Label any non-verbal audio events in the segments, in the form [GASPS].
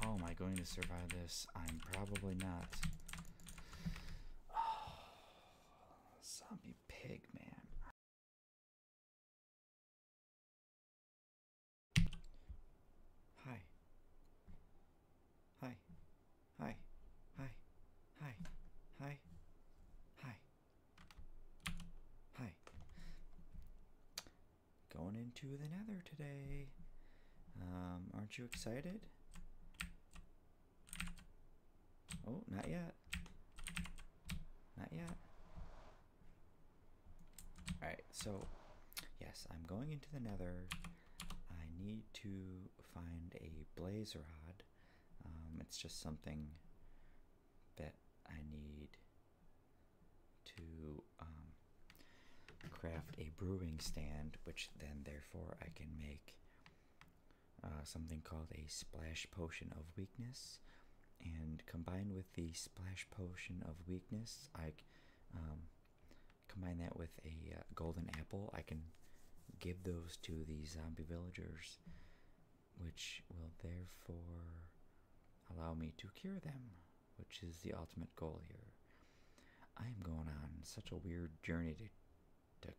How am I going to survive this? I'm probably not. [SIGHS] zombie pig, man. Hi. Hi. Hi. Hi. Hi. Hi. Hi. Hi going into the nether today. Um, aren't you excited? Oh, not yet. Not yet. Alright, so yes, I'm going into the nether. I need to find a blaze rod. Um, it's just something that I need to um, craft a brewing stand, which then therefore I can make uh, something called a splash potion of weakness. And combined with the splash potion of weakness, I um, combine that with a uh, golden apple. I can give those to the zombie villagers, which will therefore allow me to cure them which is the ultimate goal here. I am going on such a weird journey to, to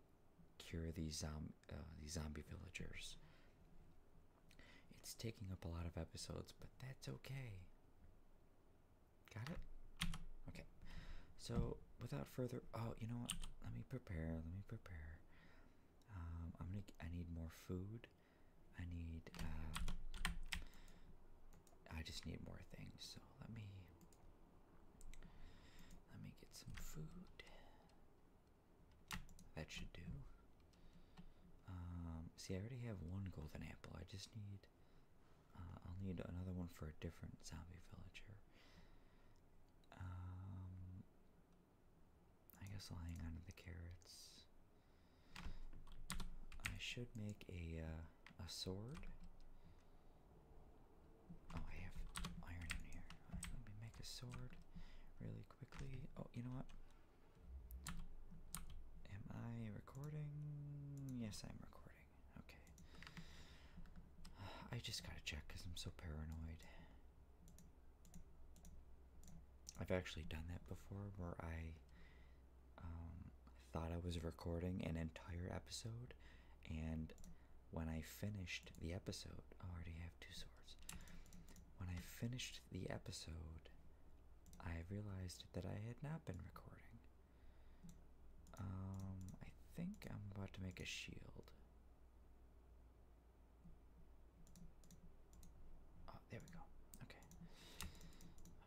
cure these, um, uh, zombie villagers. It's taking up a lot of episodes, but that's okay. Got it? Okay. So, without further, oh, you know what? Let me prepare. Let me prepare. Um, I'm gonna. I need more food. I need, uh, I just need more things, so let me, let me get some food. That should do. Um, see, I already have one golden apple. I just need, uh, I'll need another one for a different zombie villager. Um, I guess I'll hang on to the carrots. I should make a uh, a sword. Oh, I have iron in here. let me make a sword really quickly. Oh, you know what? Am I recording? Yes, I'm recording. Okay. [SIGHS] I just gotta check because I'm so paranoid. I've actually done that before where I um, thought I was recording an entire episode, and when I finished the episode, oh, I already have two swords. When I finished the episode, I realized that I had not been recording. Um, I think I'm about to make a shield. Oh, there we go. Okay.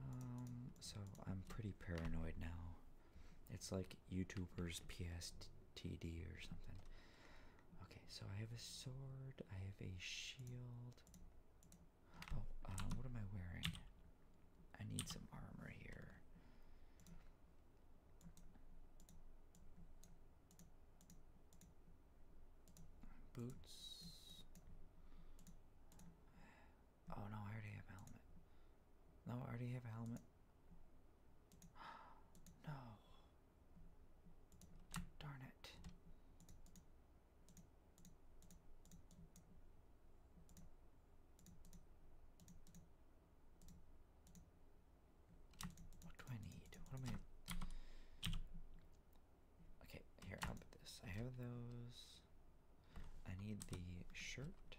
Um, so I'm pretty paranoid now. It's like YouTubers PSTD or something. Okay, so I have a sword. I have a shield. Oh, uh, what am I wearing? I need some armor here. Boots. Oh no, I already have a helmet. No, I already have a helmet. [GASPS] no. Darn it. What do I need? What am I? Okay, here, how about this? I have those. I need the shirt.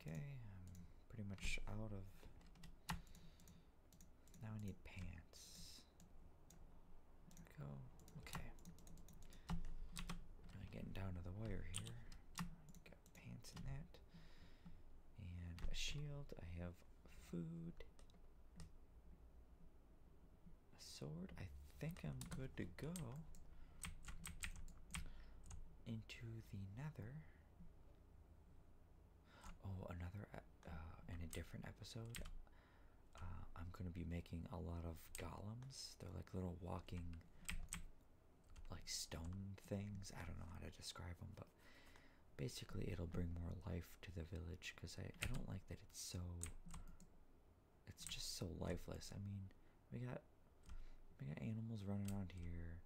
Okay, I'm pretty much out of. Now I need pants. There we go. Okay. Really getting down to the wire here. Got pants in that. And a shield. I have food. A sword. I think I'm good to go into the nether. Oh, another uh, in a different episode. Uh, I'm gonna be making a lot of golems. They're like little walking, like stone things. I don't know how to describe them, but Basically, it'll bring more life to the village because I, I don't like that it's so. It's just so lifeless. I mean, we got we got animals running around here,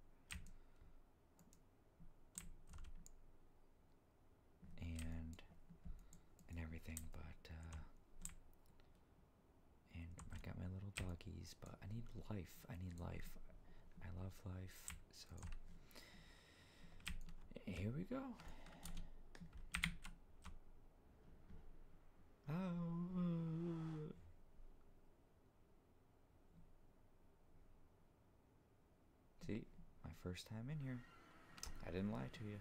and and everything, but uh, and I got my little doggies. But I need life. I need life. I love life. So here we go. Oh. See, my first time in here. I didn't lie to you.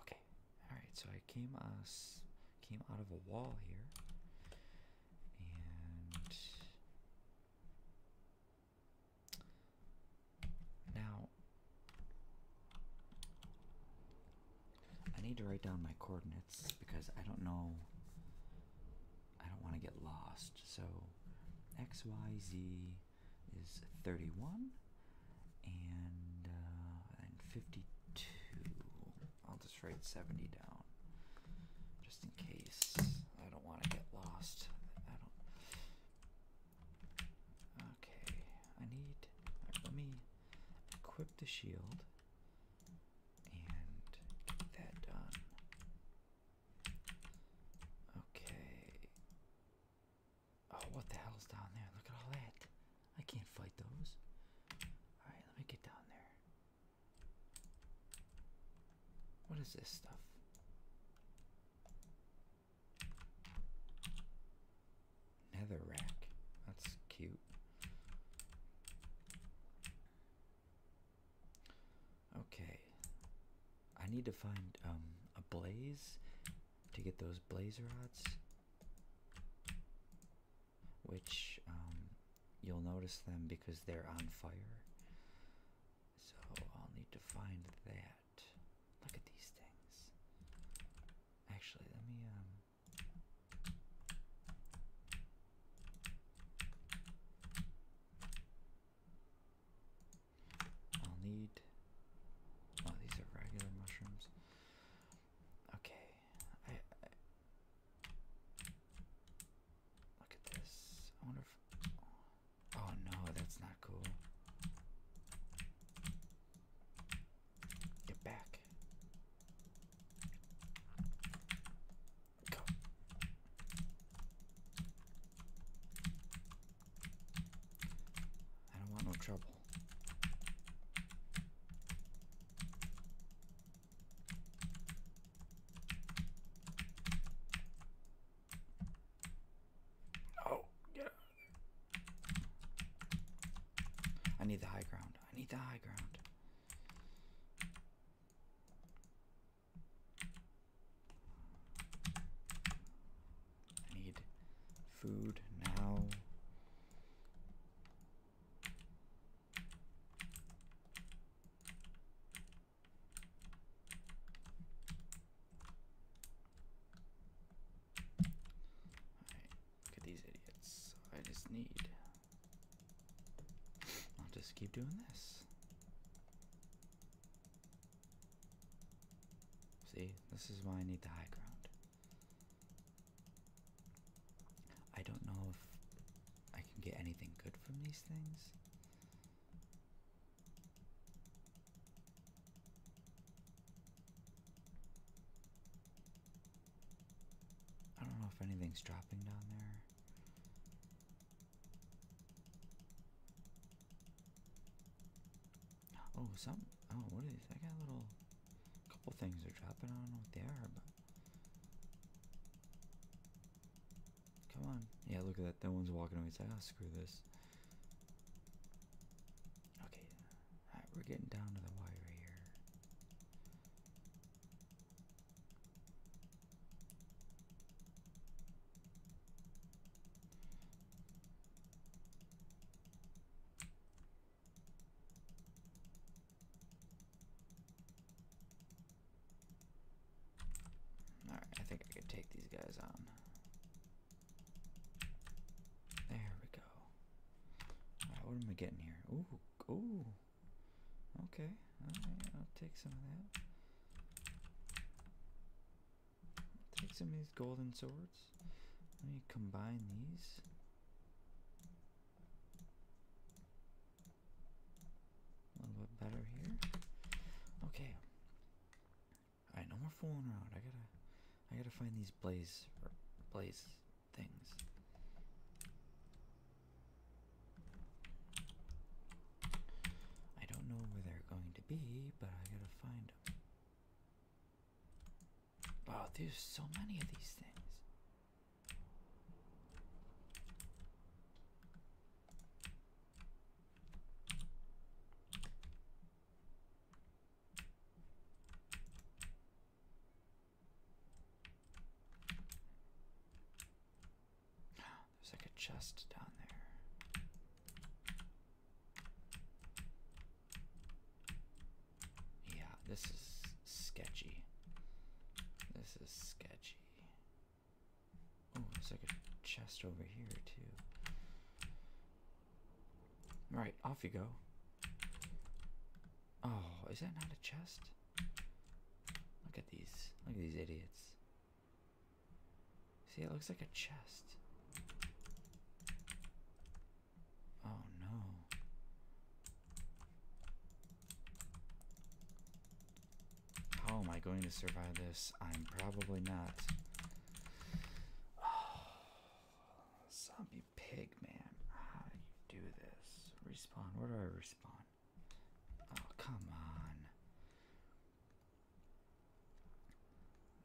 Okay. All right. So I came us came out of a wall here. And now I need to write down my coordinates because I don't know. I don't want to get lost. So XYZ is 31 and, uh, and 52. I'll just write 70 down just in case. I don't want to get lost. I don't. Okay, I need. let me equip the shield and get that done. Okay. Oh, what the hell's down there? Look at all that. I can't fight those. Alright, let me get down there. What is this stuff? Nether That's cute. Okay. I need to find um a blaze to get those blaze rods which um, you'll notice them because they're on fire. So I'll need to find that. Look at these things. Actually, let me um, I'll need Oh, these are regular mushrooms. Okay. Look at this. I wonder if. Oh no, that's not cool. Get back. Go. I don't want no trouble. Oh, yeah. I need the high ground. I need the high ground. I need food now. Look at these idiots. I just need. I'll just keep doing this. See, this is why I need the high ground. I don't know if I can get anything good from these things. I don't know if anything's dropping down there. Oh, some. Oh, what is? I got a little. couple things are dropping. I don't know what they are, but. Come on. Yeah, look at that. No one's walking away. It's like, ah, screw this. Okay. we're getting down to the wire here. Alright, I think I can take these guys on. There we go. what am I getting here? Ooh, ooh. Okay, I'll take some of that. take some of these golden swords. Let me combine these. A little bit better here. Okay. Alright, no more fooling around. I gotta I gotta find these blaze blaze things. I don't know where they're going to be, but I gotta find them. Wow, there's so many of these things. There's like a chest down there. Yeah, this is sketchy. This is sketchy. Gee. Oh, there's like a chest over here too. All right, off you go. Oh, is that not a chest? Look at these. Look at these idiots. See, it looks like a chest. Oh no. How am I going to survive this? I'm probably not. [SIGHS] zombie pig, man. How do you do this? Respawn. Where do I respawn? Oh, come on.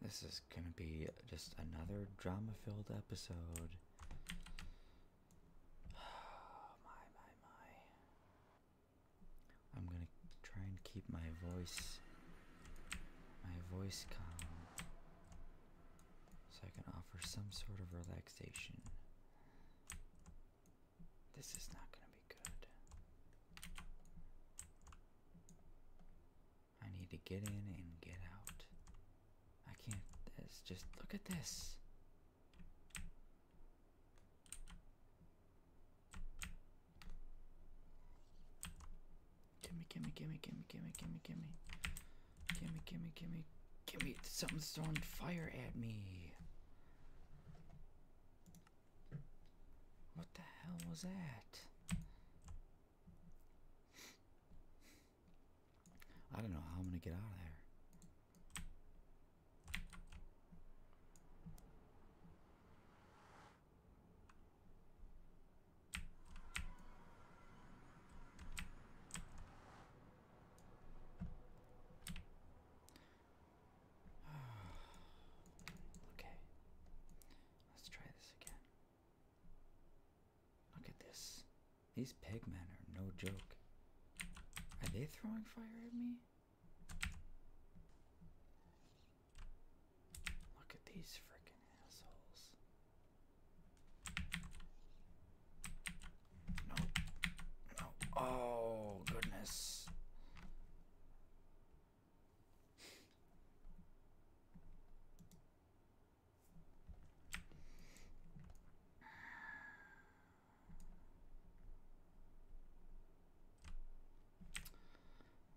This is gonna be just another drama filled episode. [SIGHS] my, my, my. I'm gonna try and keep my voice, my voice calm, so I can offer some sort of relaxation. This is not gonna be good. I need to get in and get out. I can't. This just look at this. Gimme, gimme, gimme, gimme, gimme, gimme, gimme. Gimme, gimme, gimme, gimme. Something's throwing fire at me. What the hell was that? I don't know how I'm gonna get out of there. [SIGHS] okay, let's try this again. Look at this. These Pegmen are no joke. Are they throwing fire at me? Look at these freaking assholes. No. No. Oh, goodness.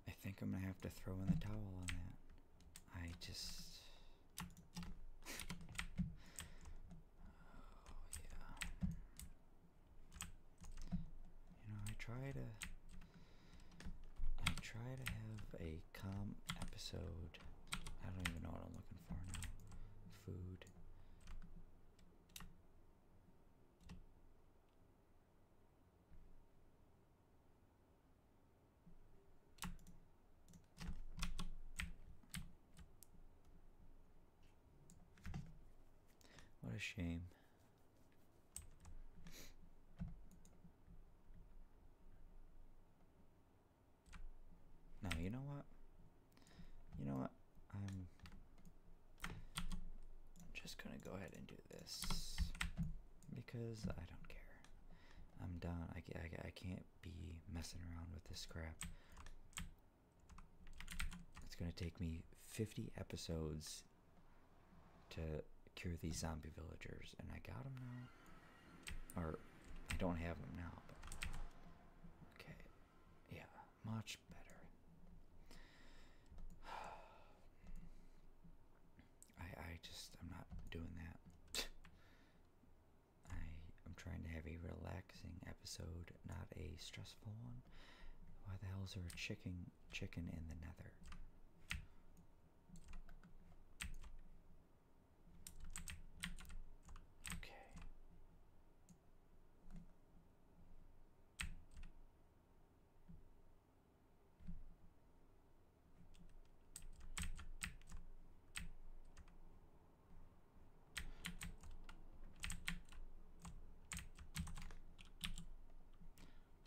I think I'm gonna have to throw in the towel on that. I just. oh, yeah. You know, I try to. I try to have a calm episode. I don't even know what I'm looking Inferno, food. What a shame. Now you know what? You know what? I'm just gonna go ahead and do this because I don't care. I'm done. I, I, I can't be messing around with this crap. It's gonna take me 50 episodes to cure these zombie villagers, and I got them now. Or I don't have them now. Okay, yeah, much better. [SIGHS] I I just I'm not doing that. [SIGHS] I I'm trying to have a relaxing episode, not a stressful one. Why the hell is there a chicken chicken in the nether? Okay.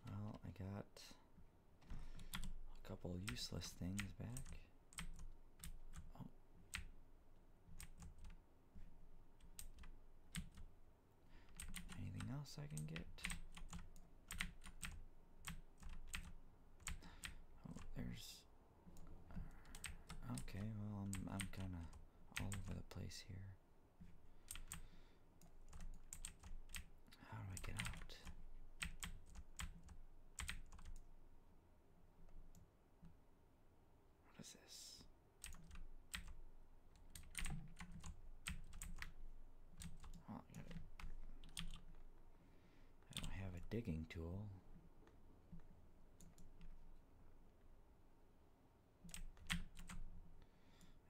Well, I got a couple useless things back. Oh. Anything else I can get? Oh, there's. Uh, okay, well, I'm, I'm kind of all over the place here. How do I get out? What is this? Oh, I, don't have a digging tool.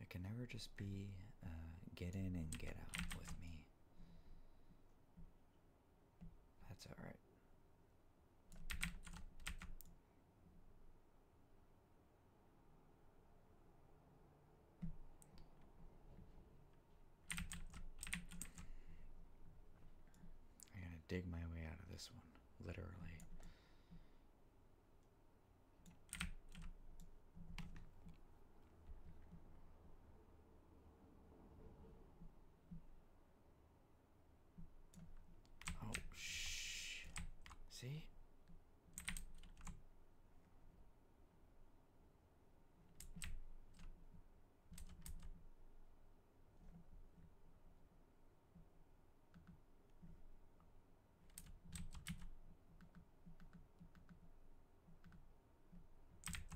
It can never just be uh, get in and get out with me. That's all right. I gotta dig my way out of this one, literally. Oh, shh. See?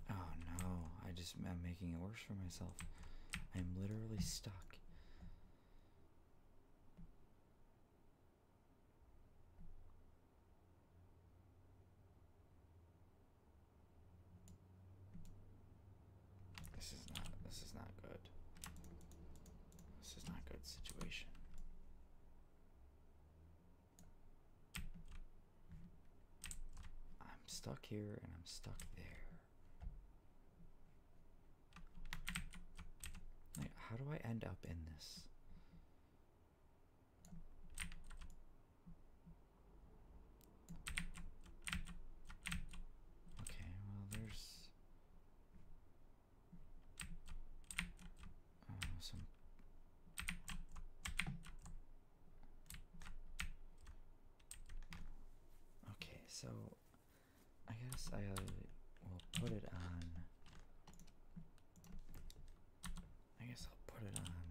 Oh no, I just am making it worse for myself. I'm literally stuck. This is not this is not good. This is not good situation. I'm stuck here and I'm stuck there how do I end up in this? Okay, well, there's uh, some. Okay, so I guess I uh, will put it on. I guess I'll put it on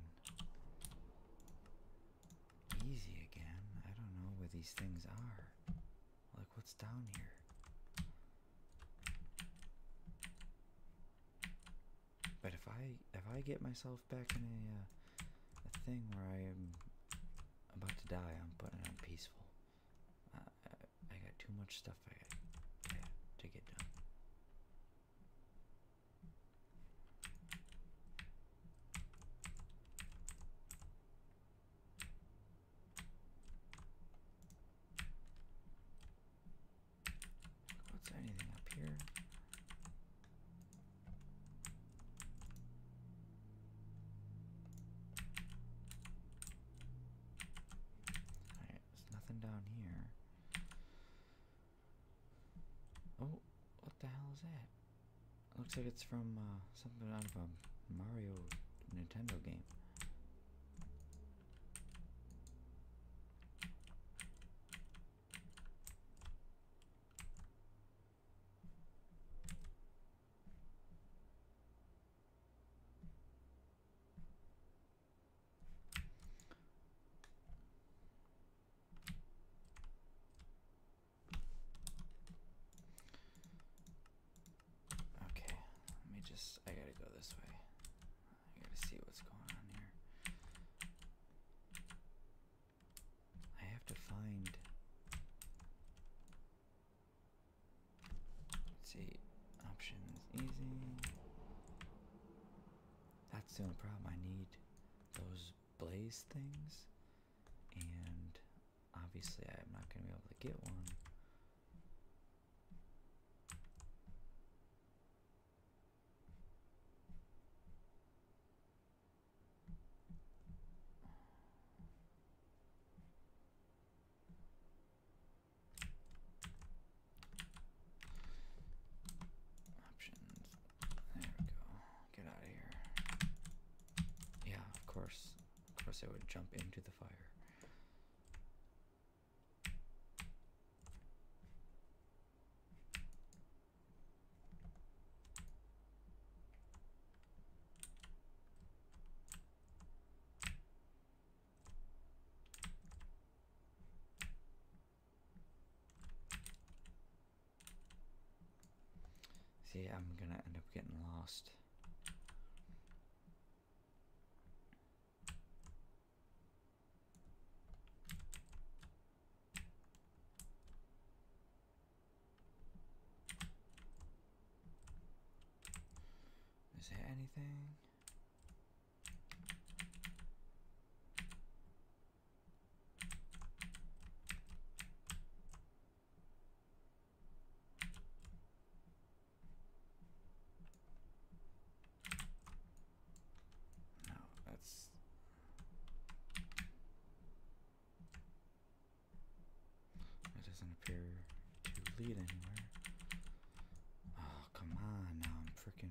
easy again. I don't know where these things are. Like, what's down here? But if I if I get myself back in uh, a, thing where I am about to die, I'm putting on peaceful. Uh, I, got too much stuff I got to, to get done. What's anything up here? there's nothing down here. Oh, what the hell is that? looks like it's from uh, something out of a Mario Nintendo game. Okay, let me just, I gotta go this way. I gotta see what's going on here. I have to find. see, options easy. That's the only problem. I need those blaze things, and obviously, I'm not going to be able to get one. Options. There we go. Get out of here. Yeah, of course. Of course, I would jump into the fire. See, I'm gonna end up getting lost. Is there anything? No, that's it doesn't appear to lead anywhere. Oh, come on now, I'm freaking.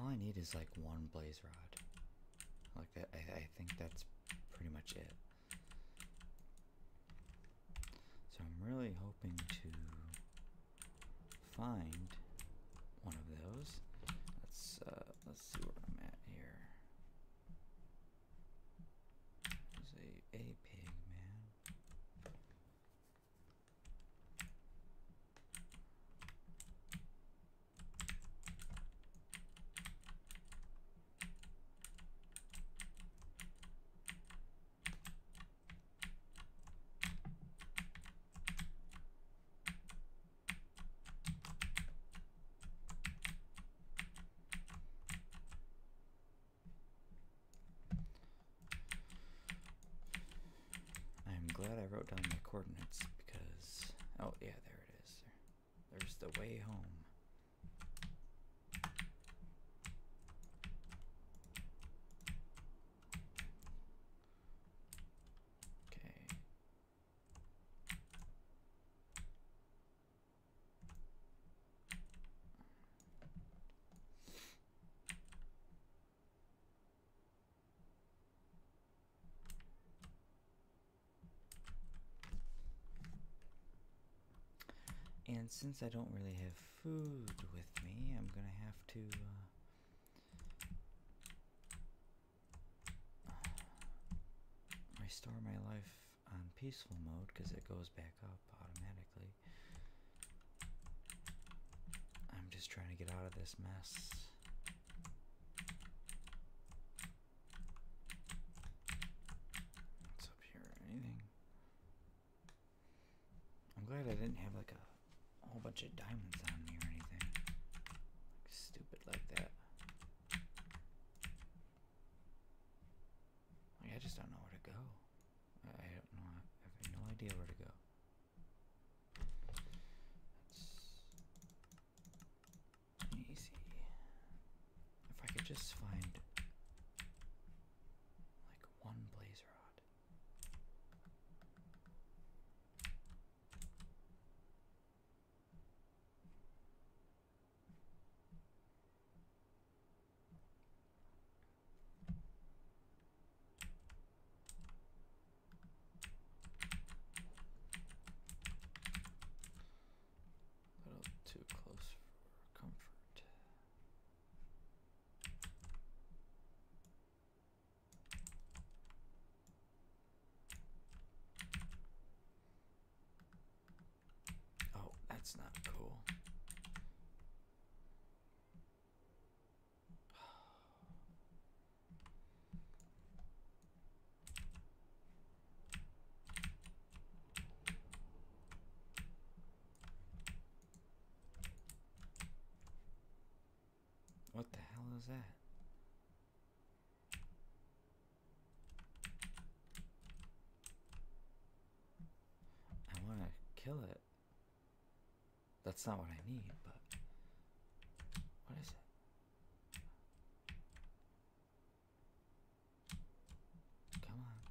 All I need is like one blaze rod. Like I, I think that's pretty much it. So I'm really hoping to find one of those. Let's uh, let's see where I'm at here. a, a pig, man. I'm glad I wrote down my coordinates because oh yeah, there it is. There's the way home. Okay. And since I don't really have food with me, I'm gonna have to uh, restore my life on peaceful mode because it goes back up automatically. I'm just trying to get out of this mess. What's up here? Anything? I'm glad I didn't have like a a whole bunch of diamonds on me or anything. stupid like that. I just don't know where to go. I, don't know. I have no idea where to go. That's easy. If I could just find like one blaze rod. A little too close for comfort. Oh, that's not cool. What the hell is that? I want to kill it. That's not what I need, but. What is it? Come on.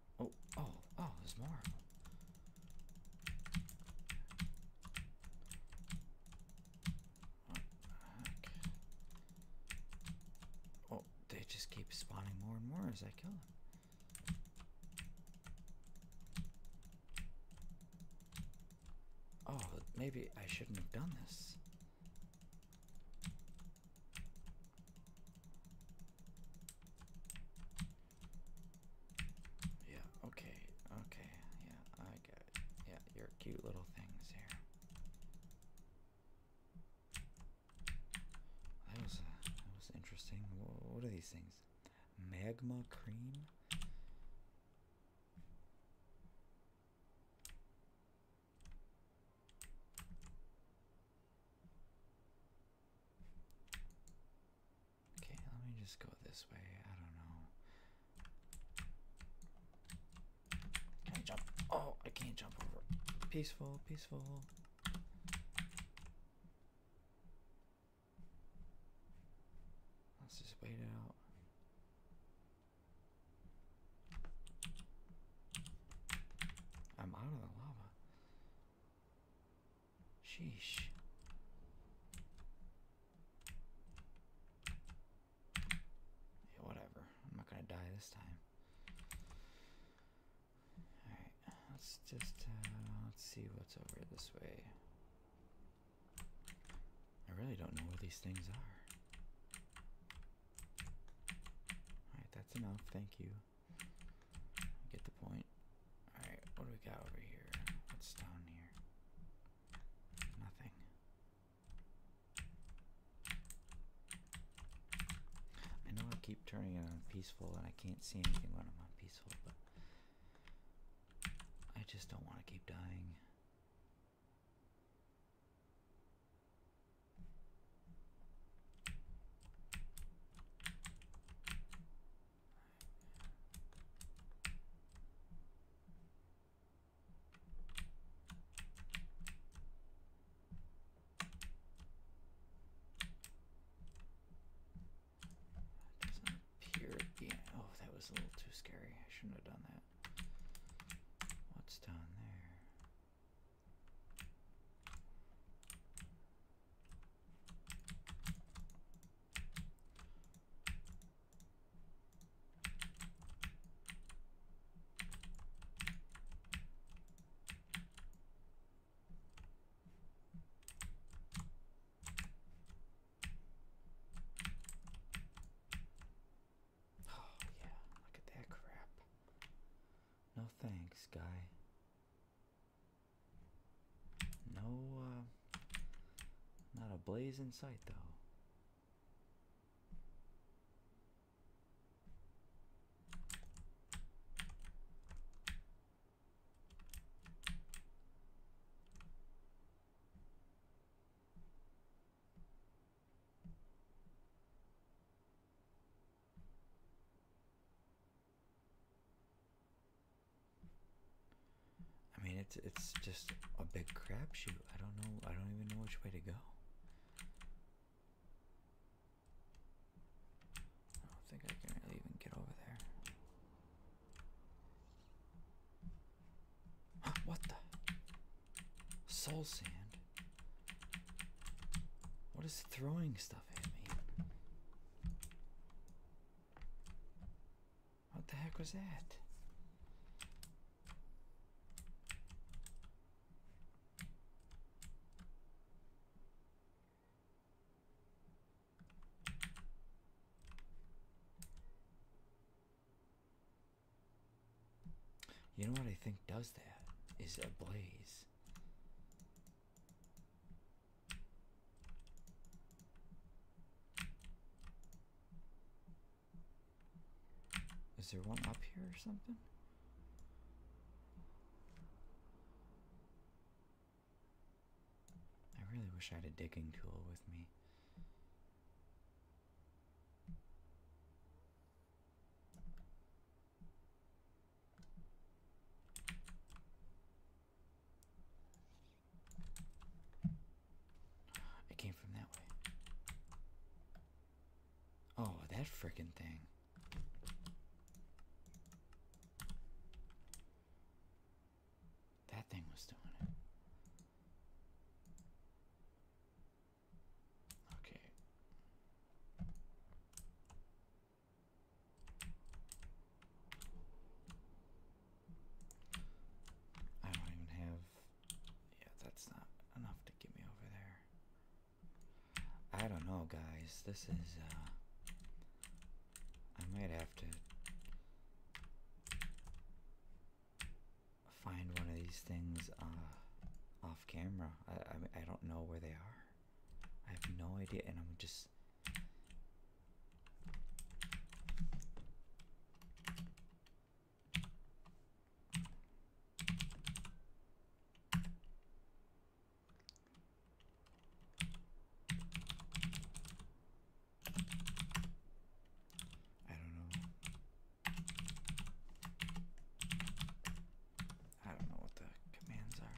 Oh, oh, oh, there's more. Oh, they just keep spawning more and more as I kill them. Oh, maybe I shouldn't have done this. Yeah, okay, okay, yeah, I got. Yeah, your cute little things here. That was, uh, that was interesting. what are these things? Magma cream? Okay, let me just go this way. I don't know. Can I jump? Oh, I can't jump over. Peaceful, peaceful. Let's just wait it out. I'm out of the lava. Sheesh. whatever. I'm not gonna die this time. Alright, let's just uh, let's see what's over this way. I really don't know where these things are. Alright, that's enough. Thank you. Get the point. Alright, what do we got over here? What's down here? Nothing. I know I keep turning it on peaceful and I can't see anything when I'm on peaceful, but I just don't want to keep dying doesn't appear at Oh, that was a little too scary. I shouldn't have done that. What's down there? Oh, yeah, look at that crap. No thanks, guy. No, uh, not a blaze in sight though. I mean, it's it's just a big crapshoot. I don't know. I don't even know which way to go. I don't think I can even get over there. what the? Soul sand? What is throwing stuff at me? What the heck was that? You know what I think does that is a blaze. Is there one up here or something? I really wish I had a digging tool with me. It came from that way. Oh, that frickin' thing. That thing was doing it. Okay. I don't even have. Yeah, that's not enough to get me over there. I don't know, guys. This is, uh. I might have to find one of these things uh, off camera. I, I, I don't know where they are. I have no idea, and I'm just I don't know. I don't know what the commands are.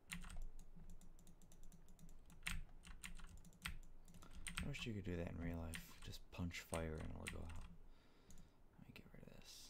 I wish you could do that in real life. Just punch fire and it'll go out. Let me get rid of this.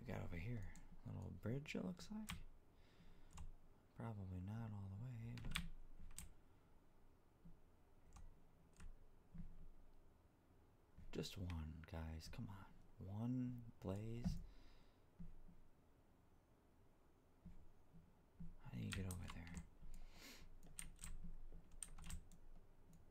we got over here? little bridge it looks like? Probably not all the way, but just one, guys. Come on. One blaze. How do you get over there?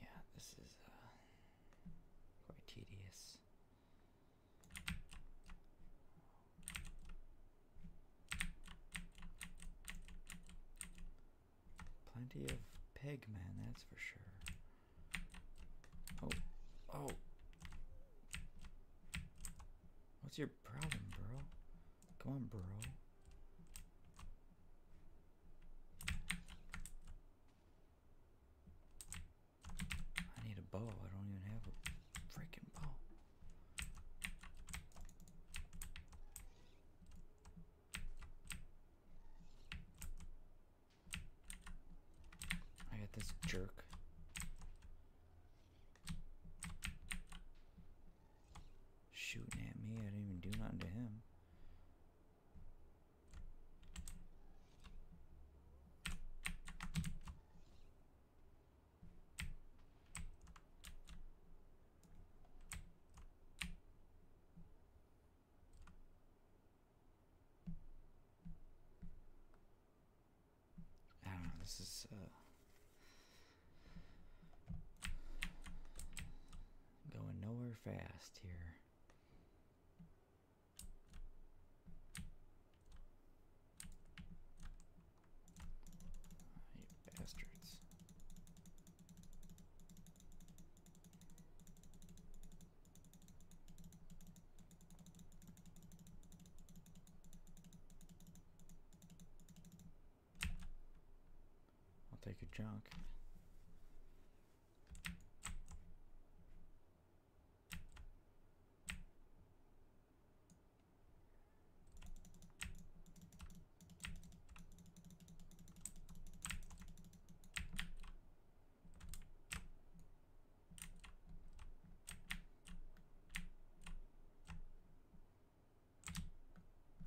Yeah, this is uh, quite tedious. Plenty of pigmen, that's for sure. Oh, oh. What's your problem, bro? Come on, bro. I need a bow. I don't even have a freaking bow. I got this jerk. Shooting at me, I didn't even do nothing to him. I don't know, this is uh, going nowhere fast here. You bastards. I'll take a junk.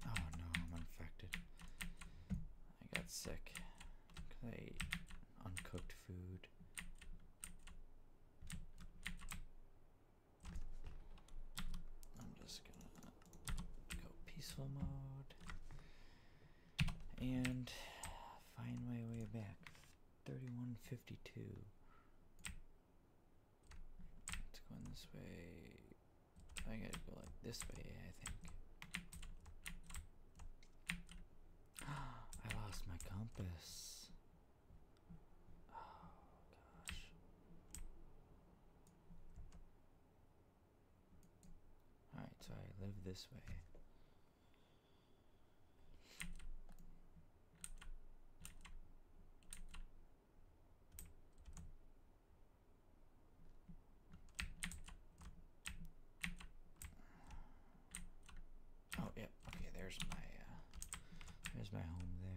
Oh no, I'm infected. I got sick Okay, uncooked food. I'm just gonna go peaceful mode and find my way back. 3152. It's going this way. I gotta go like this way, I think. [GASPS] I lost my compass. Oh gosh. Alright, so I live this way. Oh, yep. Okay, there's my uh, there's my home there.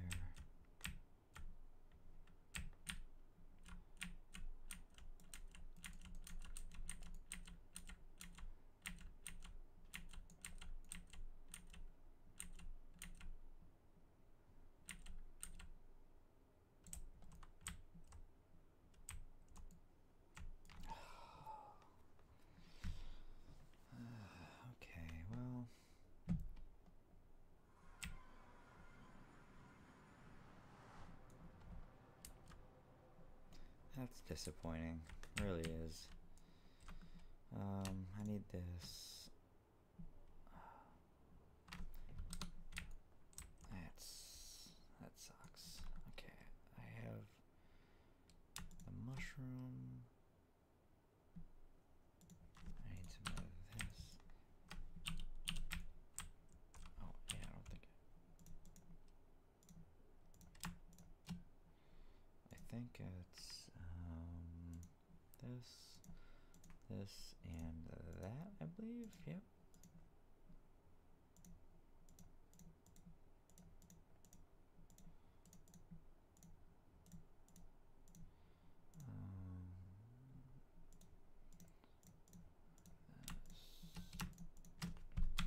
[SIGHS] okay, well. That's disappointing. really is. Um, I need this. [SIGHS] That's that sucks. Okay, I have the mushroom. I need to move this. Oh, yeah, I don't think. I think it's um, this, this, and that, I believe. Yep. Um,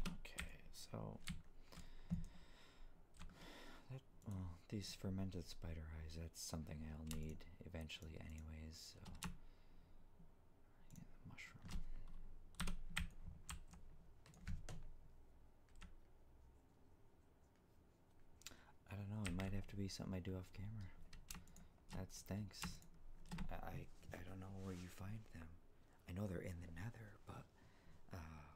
okay, so these fermented spider eyes, that's something I'll need eventually anyways, mushroom. I don't know. It might have to be something I do off camera. That stinks. I I, don't know where you find them. I know they're in the Nether, but uh,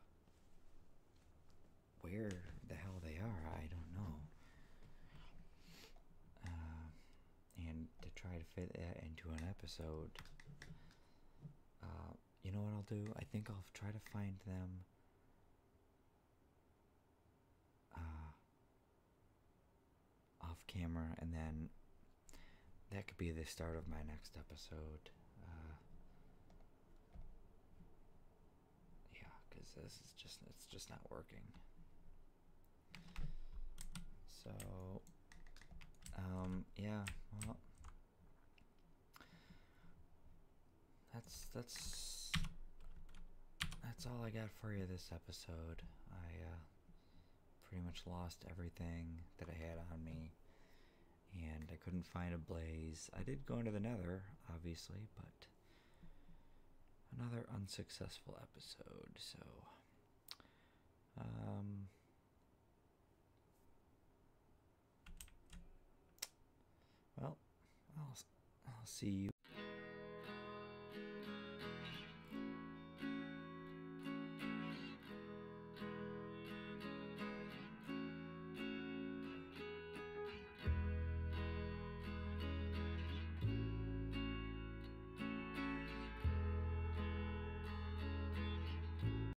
where the hell they are, I don't know. Uh, and to try to fit that into an episode, uh, you know what I'll do? I think I'll try to find them. Uh, off camera, and then that could be the start of my next episode. Uh, yeah, because this is just—it's just not working. So, um, yeah. That's that's that's all I got for you this episode. I uh, pretty much lost everything that I had on me, and I couldn't find a blaze. I did go into the Nether, obviously, but another unsuccessful episode. So, um, well, I'll, I'll see you.